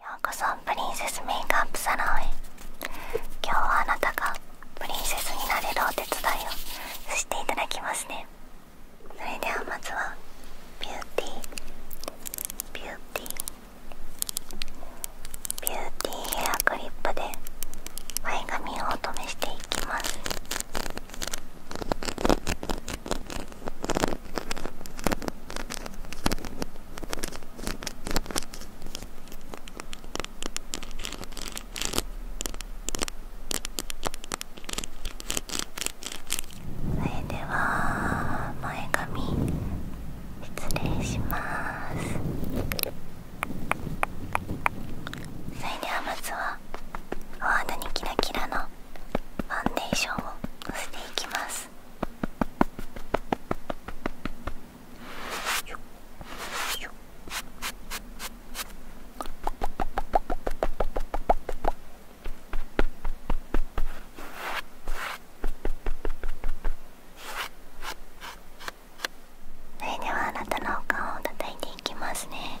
ようこそプリンセスメイクアップサロンへ今日はあなたがプリンセスになれるお手伝いをしていただきますねそれではまずはビューティービューティービューティーヘアクリップで前髪をお留めしていきますそれでは前髪失礼しますそれではまずはお肌にキラキラのファンデーションをのせていきますますそれではあなたのお顔を叩いていきますね。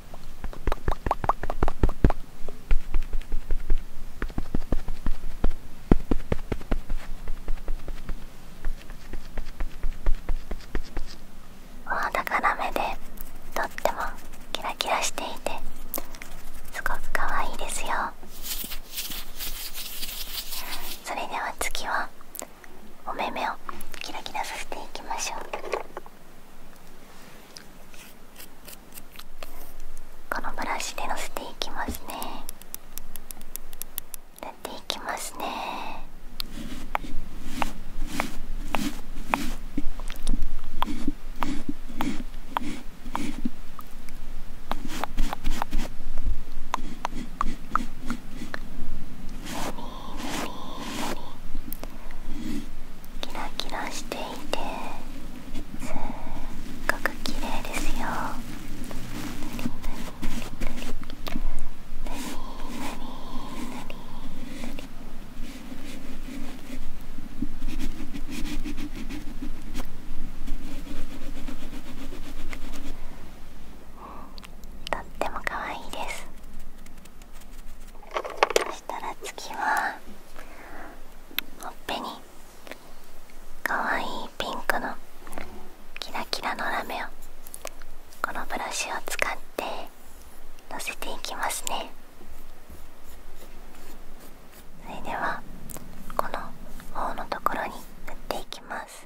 お肌から目でとってもキラキラしていてすごく可愛いですよそれでは次はお目目をキラキラさせていきましょうこのブラシでのせていきますね塗っていきますねキラキラしていてすっごく綺麗ですよとっても可愛いです。たら次はほっぺにかわいいピンクのキラキラのラメをこのブラシを使ってのせていきますねそれではこの頬のところに塗っていきます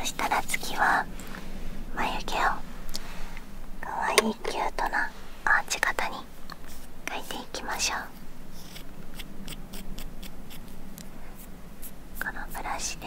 そしたら次は眉毛をかわいいキュートなアーチ型に描いていきましょうこのブラシで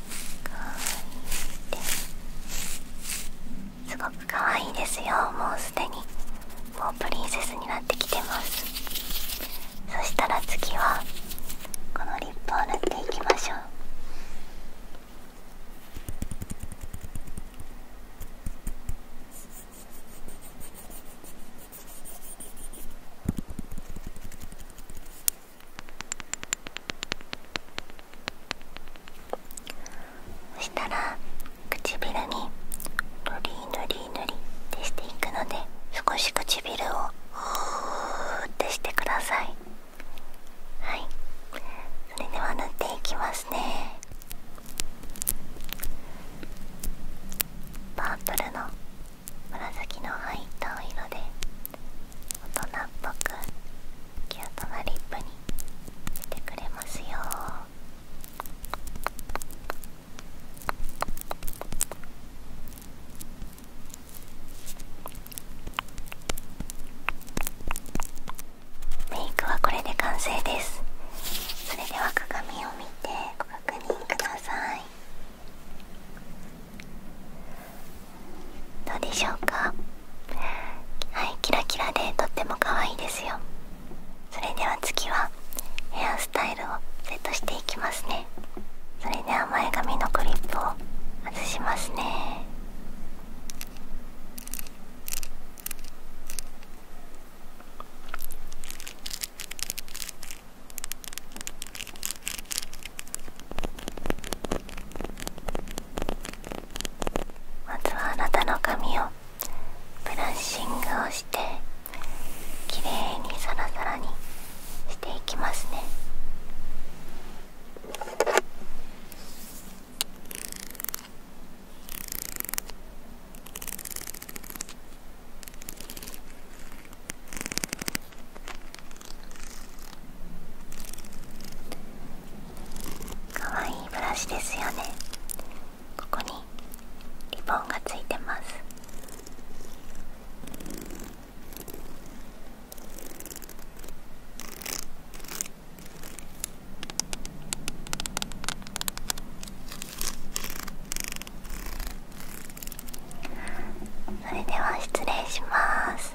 いすごく可愛いですよもうすでにもうプリンセスになってきてますそしたら次はこのリップを塗っていきましょうそしたら唇にぬりぬりぬりってしていくので少し唇をふーってしてくださいはいそれでは塗っていきますねパープルの紫の入ったお色で大人っぽくキュートなリップにしてくれますよメイクはこれで完成ですそれでは鏡を見てご確認くださいどうでしょうかはいキラキラでとっても可愛いですよそれでは次はヘアスタイルをセットしていきますねそれでは前髪のクリップを外しますねまずはあなたの髪をブラッシングをしてきれいにサラサラにしていきますねかわいブラシですよねここにリボンがついてますそれでは失礼します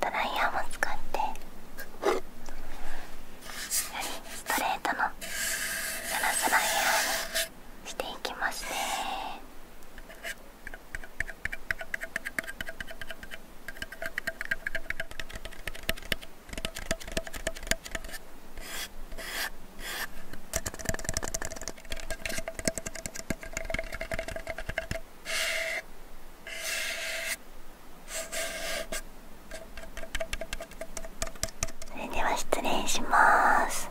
ドライヤーも使ってよりストレートのガラスライヤーにしていきますね。それでは失礼します。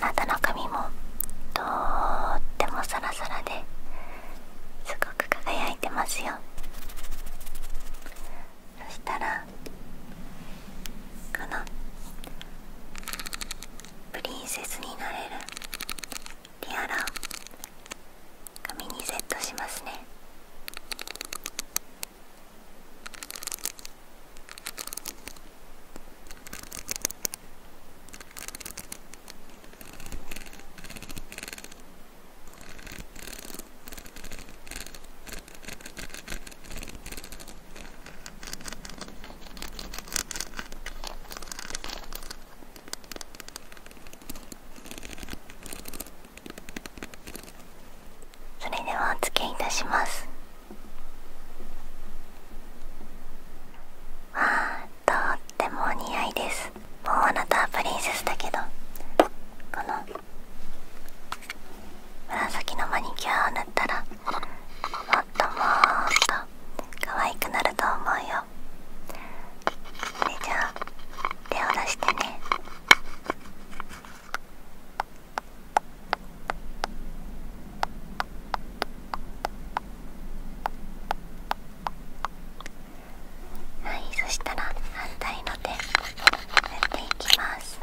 あなたの髪もとってもサラサラですごく輝いてますよそしたらこのプリンセスになれるリアラ紙にセットしますねそれではお付けいたしますもうあなたはプリンセスだけどこの紫のマニキュアを塗ったらっとも可愛くなると思うよそじゃ手を出してねはいそしたら反対の手やっていきます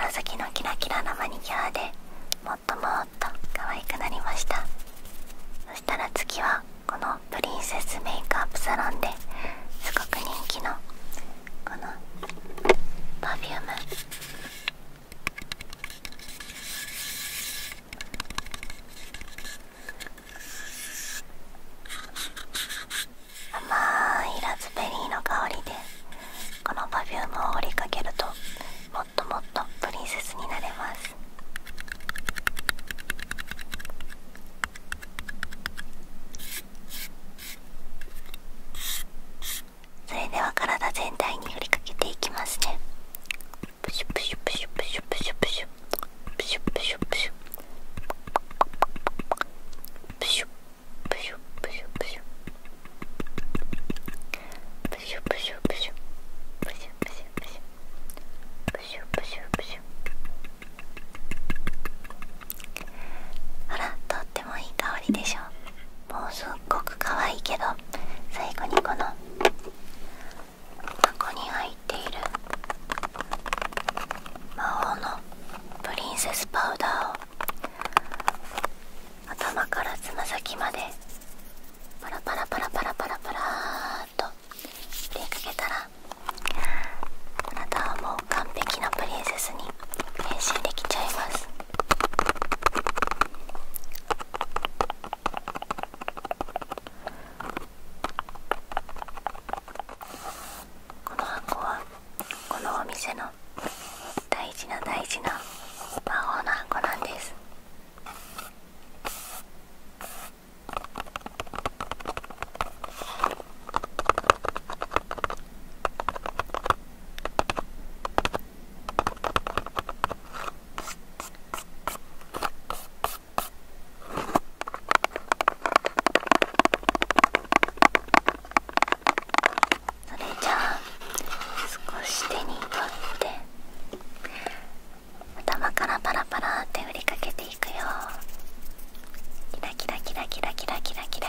紫のキラキラなマニキュアでもっともっと可愛くなりましたそしたら次はこのプリンセスメイクアップサロンですごく人気のこのパフューム甘いラズベリーの香りでこのパフュームを振りかけるともっともっとプリンセスになれますそれでは体全体に振りかけていきますねあらとってもいい香りでしょもうすっごく可愛いけど最後にこの箱に入っている魔法のプリンセスパウダーを頭からつま先までパラパラパラパラパラパラっと入れかけたらあなたはもう完璧なプリンセスに変身できちゃいますこの箱はこのお店の大事な大事な魔法の箱なんですそれじゃあ少し手に取って頭からパラパラって振りかけていくよキラキラキラキラキラキラ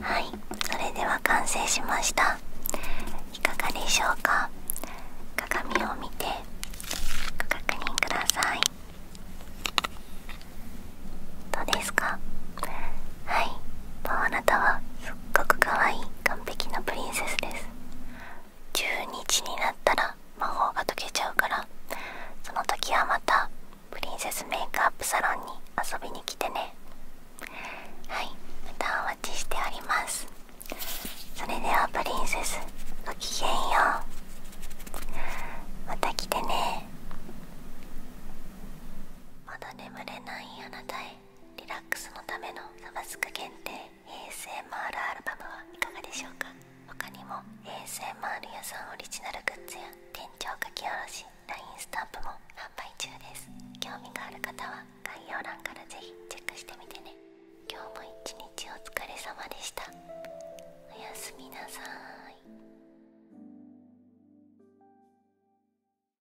はいそれでは完成しましたいかがでしょうか鏡を見てご確認くださいどうですかはいあなたはすっごく可愛い完璧なプリンセスです12時になったら魔法が解けちゃうからその時はまたプリンセスメイクアップサロンに遊びに来てねはいまたお待ちしておりますそれではプリンセスごきげんようまた来てねまだ眠れないあなたへリラックスのためのサブスク限定 ASMR アルバムはいかがでしょうか他にも ASMR 屋さんオリジナルグッズや店長書き下ろし LINE スタンプも販売中です興味がある方は概要欄からぜひチェックしてみてね今日も一日お疲れ様でしたおやすみなさーい